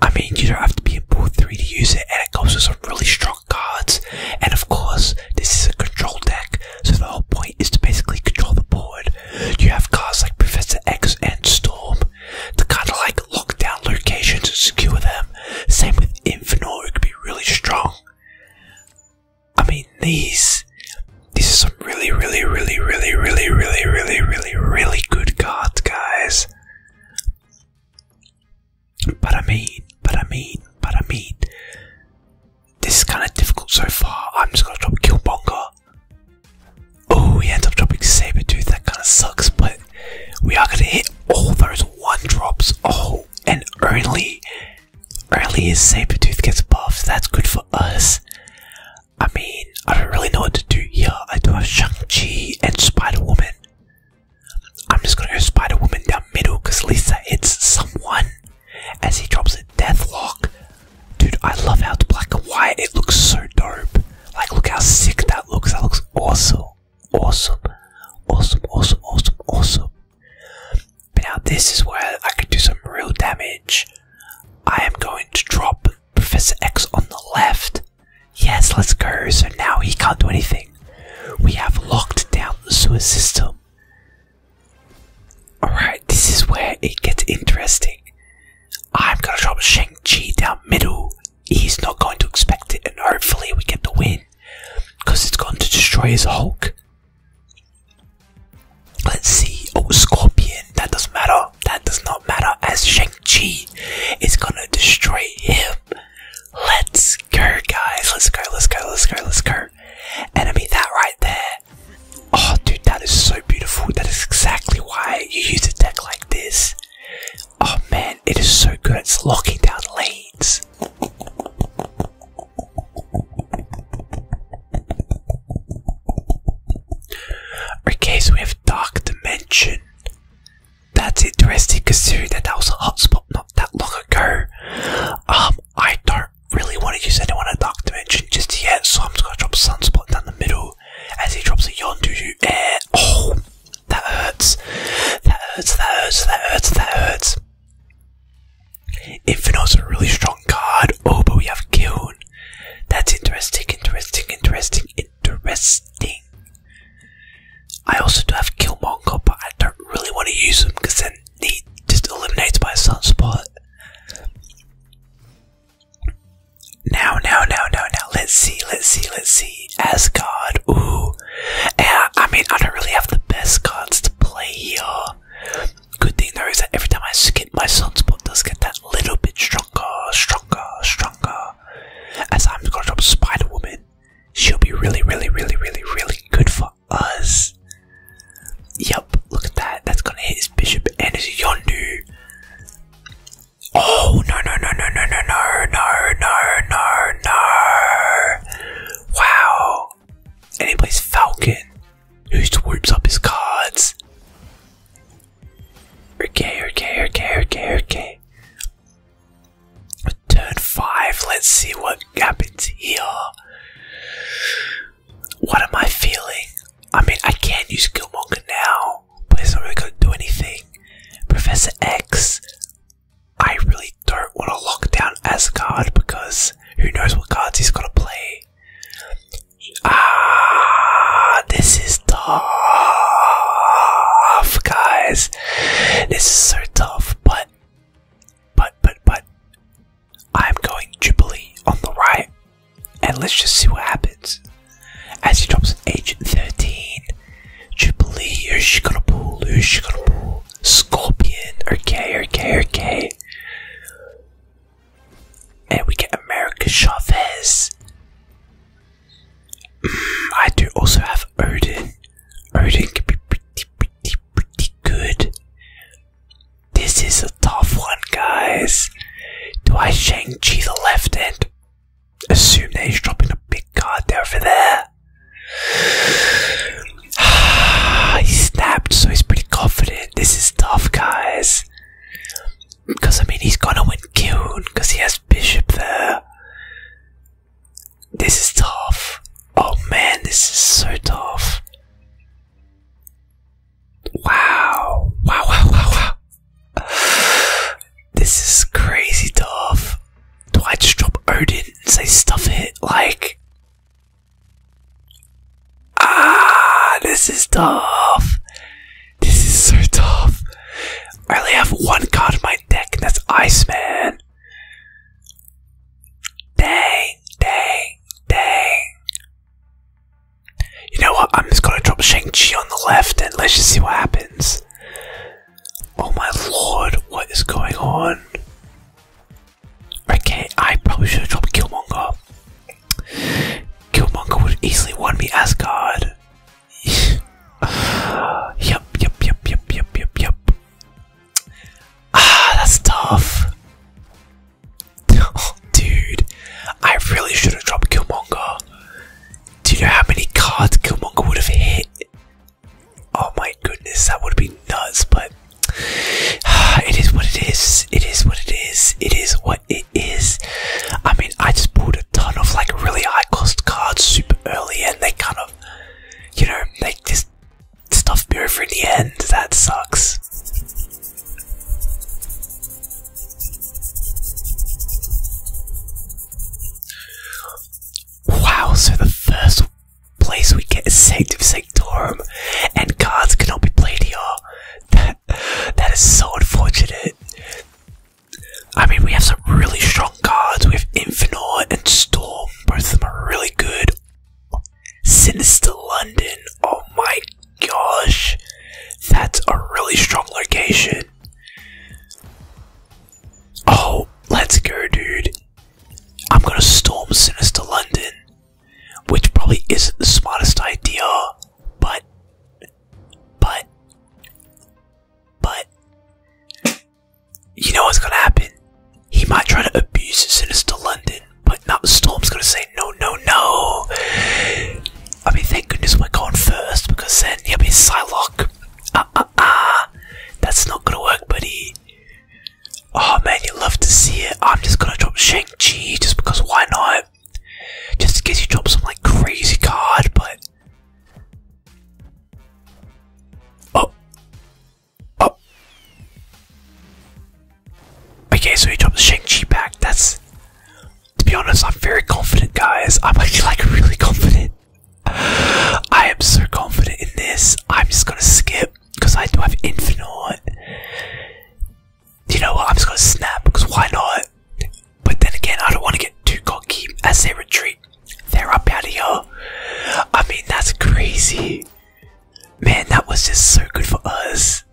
I mean, you don't have to be in pool 3 to use it, and it goes with some really strong cards. And of course, this is a control deck, so the whole point is to basically control the board. You have cards like Professor X and Storm to kind of like lock down locations and secure them. Same with Infinor, it could be really strong. I mean, these. This is really, really, really, really, really, really, really, really, really good God, guys. But I mean, but I mean, but I mean, this is kind of difficult so far. I'm just gonna drop Killmonger. Oh, we end up dropping saber tooth. that kind of sucks, but we are gonna hit all those one drops. Oh, and early, early only saber tooth gets buffed, that's good for us. I mean, I don't really know what to do here. I do have Shang-Chi and Spider-Woman. I'm just gonna go Spider-Woman down middle because Lisa it's someone as he drops a Deathlock. Dude, I love how it's black and white. It looks so dope. Like, look how sick that looks. That looks awesome. Awesome. Awesome, awesome, awesome, awesome. But now this is where I can do some real damage. I am going to drop Professor X on the left. Yes, let's go. So now he can't do anything. We have locked down the sewer system. Alright, this is where it gets interesting. I'm gonna drop Shang-Chi down middle. He's not going to expect it, and hopefully we get the win. Because it's going to destroy his Hulk. Let's see. Oh, Scorpion. That doesn't matter. That does not matter as Shang-Chi is gonna destroy him. Let's go, guys. Let's go, let's go, let's go, let's go. Enemy, that right there. Oh, dude, that is so beautiful. That is exactly why you use a deck like this. Oh man, it is so good. It's locking down lanes. Okay, so we have Dark Dimension. That's interesting considering that was a hotspot not that long ago. Um, I don't really want to use anyone at Dark Dimension just yet, so I'm just gonna drop Sunspot down the middle as he drops a Yondu Oh, that hurts. That hurts, that hurts, that hurts, that hurts. Infinite's a really strong card. Oh, but we have Kiln. That's interesting, interesting, interesting, interesting. I also do have Killmonger, but I don't really want to use them because then he just eliminates my sunspot. Now, now, now, now, now. Let's see, let's see, let's see. Asgard, ooh. And I mean, I don't really have the best cards to play here. Good thing though is that every time I skip, my sunspot does get that little bit stronger, stronger, stronger. As I'm gonna drop Spider Woman, she'll be really, really, really, really, really good for us. Yep, look at that. That's gonna hit his bishop and his yondu. Oh no no no no no no no no no no no! Wow, and he plays Falcon. Who swipes up his cards? Okay, okay, okay, okay, okay. Turn five, let's see what happens here. What am I feeling? I mean, I can not use Killmonger now, but it's not really going to do anything. Professor X, I really don't want to lock down Asgard because who knows what cards he's going to play. Ah, this is tough, guys. This is so tough, but, but, but, but, I'm going Jubilee on the right, and let's just see what happens. As he drops an 13 Jubilee, who's she gonna pull? Who's she gonna pull? Scorpion, okay, okay, okay. And we get America Chavez. Mm, I do also have Odin. Odin can be pretty, pretty, pretty good. This is a tough one, guys. Do I shank chi the left end? Assume that he's dropping a big card over there. he snapped, so he's pretty confident. This is tough, guys. Because, I mean, he's gonna win Kuhn, because he has Bishop there. This is tough. Oh man, this is so tough. Wow. Wow, wow, wow, wow. This is crazy tough. Do I just drop Odin and say stuff it? Like, Ah, this is tough. This is so tough. I only have one card in my deck, and that's Iceman. Dang, dang, dang. You know what? I'm just gonna drop Shang-Chi on the left and let's just see what happens. Oh my lord, what is going on? Okay, I probably should have dropped Killmonger. Killmonger would easily won me Asgard. yep, yep, yep, yep, yep, yep, yep. Ah, that's tough. dude, I really should have dropped Killmonger. Do you know how many cards Killmonger would have hit? Oh my goodness, that would be nuts, but It is what it is. It is what it is. It is what it is. I mean, I just bought a ton of like really high cost cards super early, and they kind of, you know, they just stuff me over in the end. That sucks. Wow, so the first place we get is Saint Sanctorum, and cards cannot be played here. That, that is so unfortunate. I mean, we have some really strong cards. We have Infinor and Storm. Both of them are really good. Sinister London. Oh my gosh. That's a really strong location. Oh, let's go, dude. I'm gonna storm Sinister London which probably isn't the smartest idea, but, but, but, you know what's gonna happen? He might try to abuse the sinister London, but not Storm's gonna say no, no, no. I mean, thank goodness we're going first, because then, yeah, will be Psylocke, ah, ah, ah, that's not gonna work, buddy. Oh man, you would love to see it. I'm just gonna drop Shang-Chi just because why not? Just in case you drop some like crazy card, but Oh Oh Okay, so he dropped Shang-Chi back. That's to be honest, I'm very confident guys. I'm actually like really confident. I am so confident in this. I'm just gonna skip because I do have Infinite. You know what? I'm just gonna snap because why not? But then again, I don't want to get too cocky as they retreat. There are up I mean, that's crazy. Man, that was just so good for us.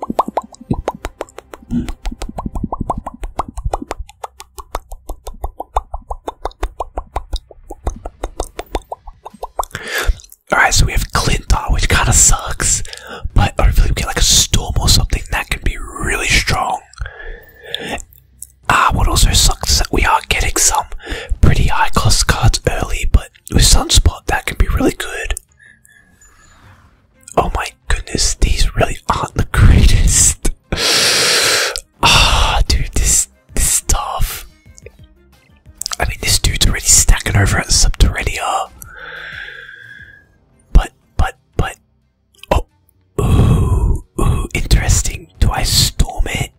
Alright, so we have Clintar, which kind of sucks, but hopefully we get like a Storm or something that can be really strong. Ah, what also sucks is that we are getting some pretty high cost cards early, but with Sunspot that can be really good. Oh my goodness, these really aren't the greatest. Ah, oh, dude, this this stuff. I mean, this dude's already stacking over at Subterranea. But, but, but. Oh, ooh, ooh, interesting. Do I storm it?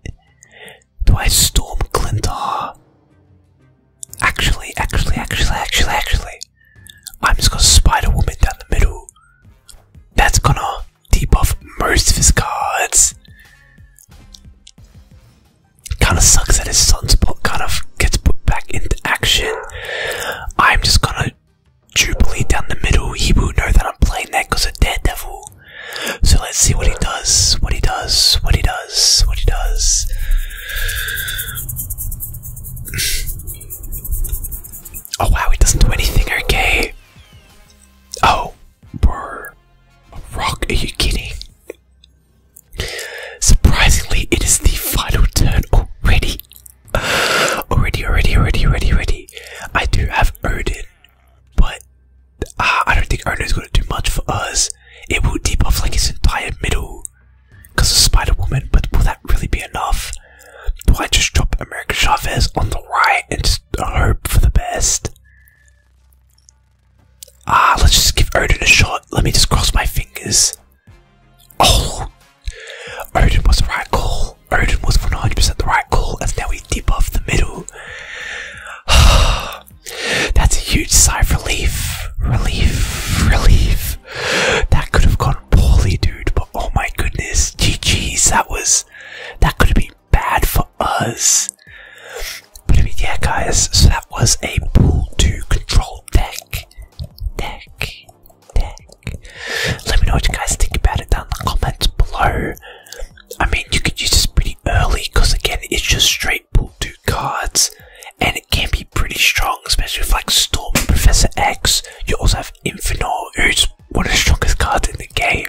Do I storm Glintar? Actually, actually, actually, actually, actually. I'm just gonna Spider Woman down the middle. That's gonna debuff most of his cards. Kind of sucks that his sunspot kind of gets put back into action. I'm just gonna Jubilee down the middle. He will know that I'm playing that because of Daredevil. So let's see what he does. What he does. What he does. What he does. oh wow, he doesn't do anything. Okay. Oh, Bro, a rock? Are you kidding? Surprisingly, it is the final turn already. Already, already, already, already, already. I do have Odin, but uh, I don't think Odin is going to do much for us. It will debuff like his entire middle because of Spider Woman, but will that really be enough? Do I just drop America Chavez on the right and just hope for the best? Ah, let's just give Odin a shot. Let me just cross my fingers. Oh, Odin was the right call. Odin was 100% the right call, and now we dip off the middle. That's a huge sigh of relief. Relief, relief. That could have gone poorly, dude, but oh my goodness. geez, that was. That could have been bad for us. But yeah, guys, so that was a pull 2 control deck. Deck. Deck. Let me know what you guys think about it down in the comments below. I mean, you could use this pretty early because, again, it's just straight pull 2 cards and it can be pretty strong, especially with like Storm Professor X. You also have Infinor, who's one of the strongest cards in the game.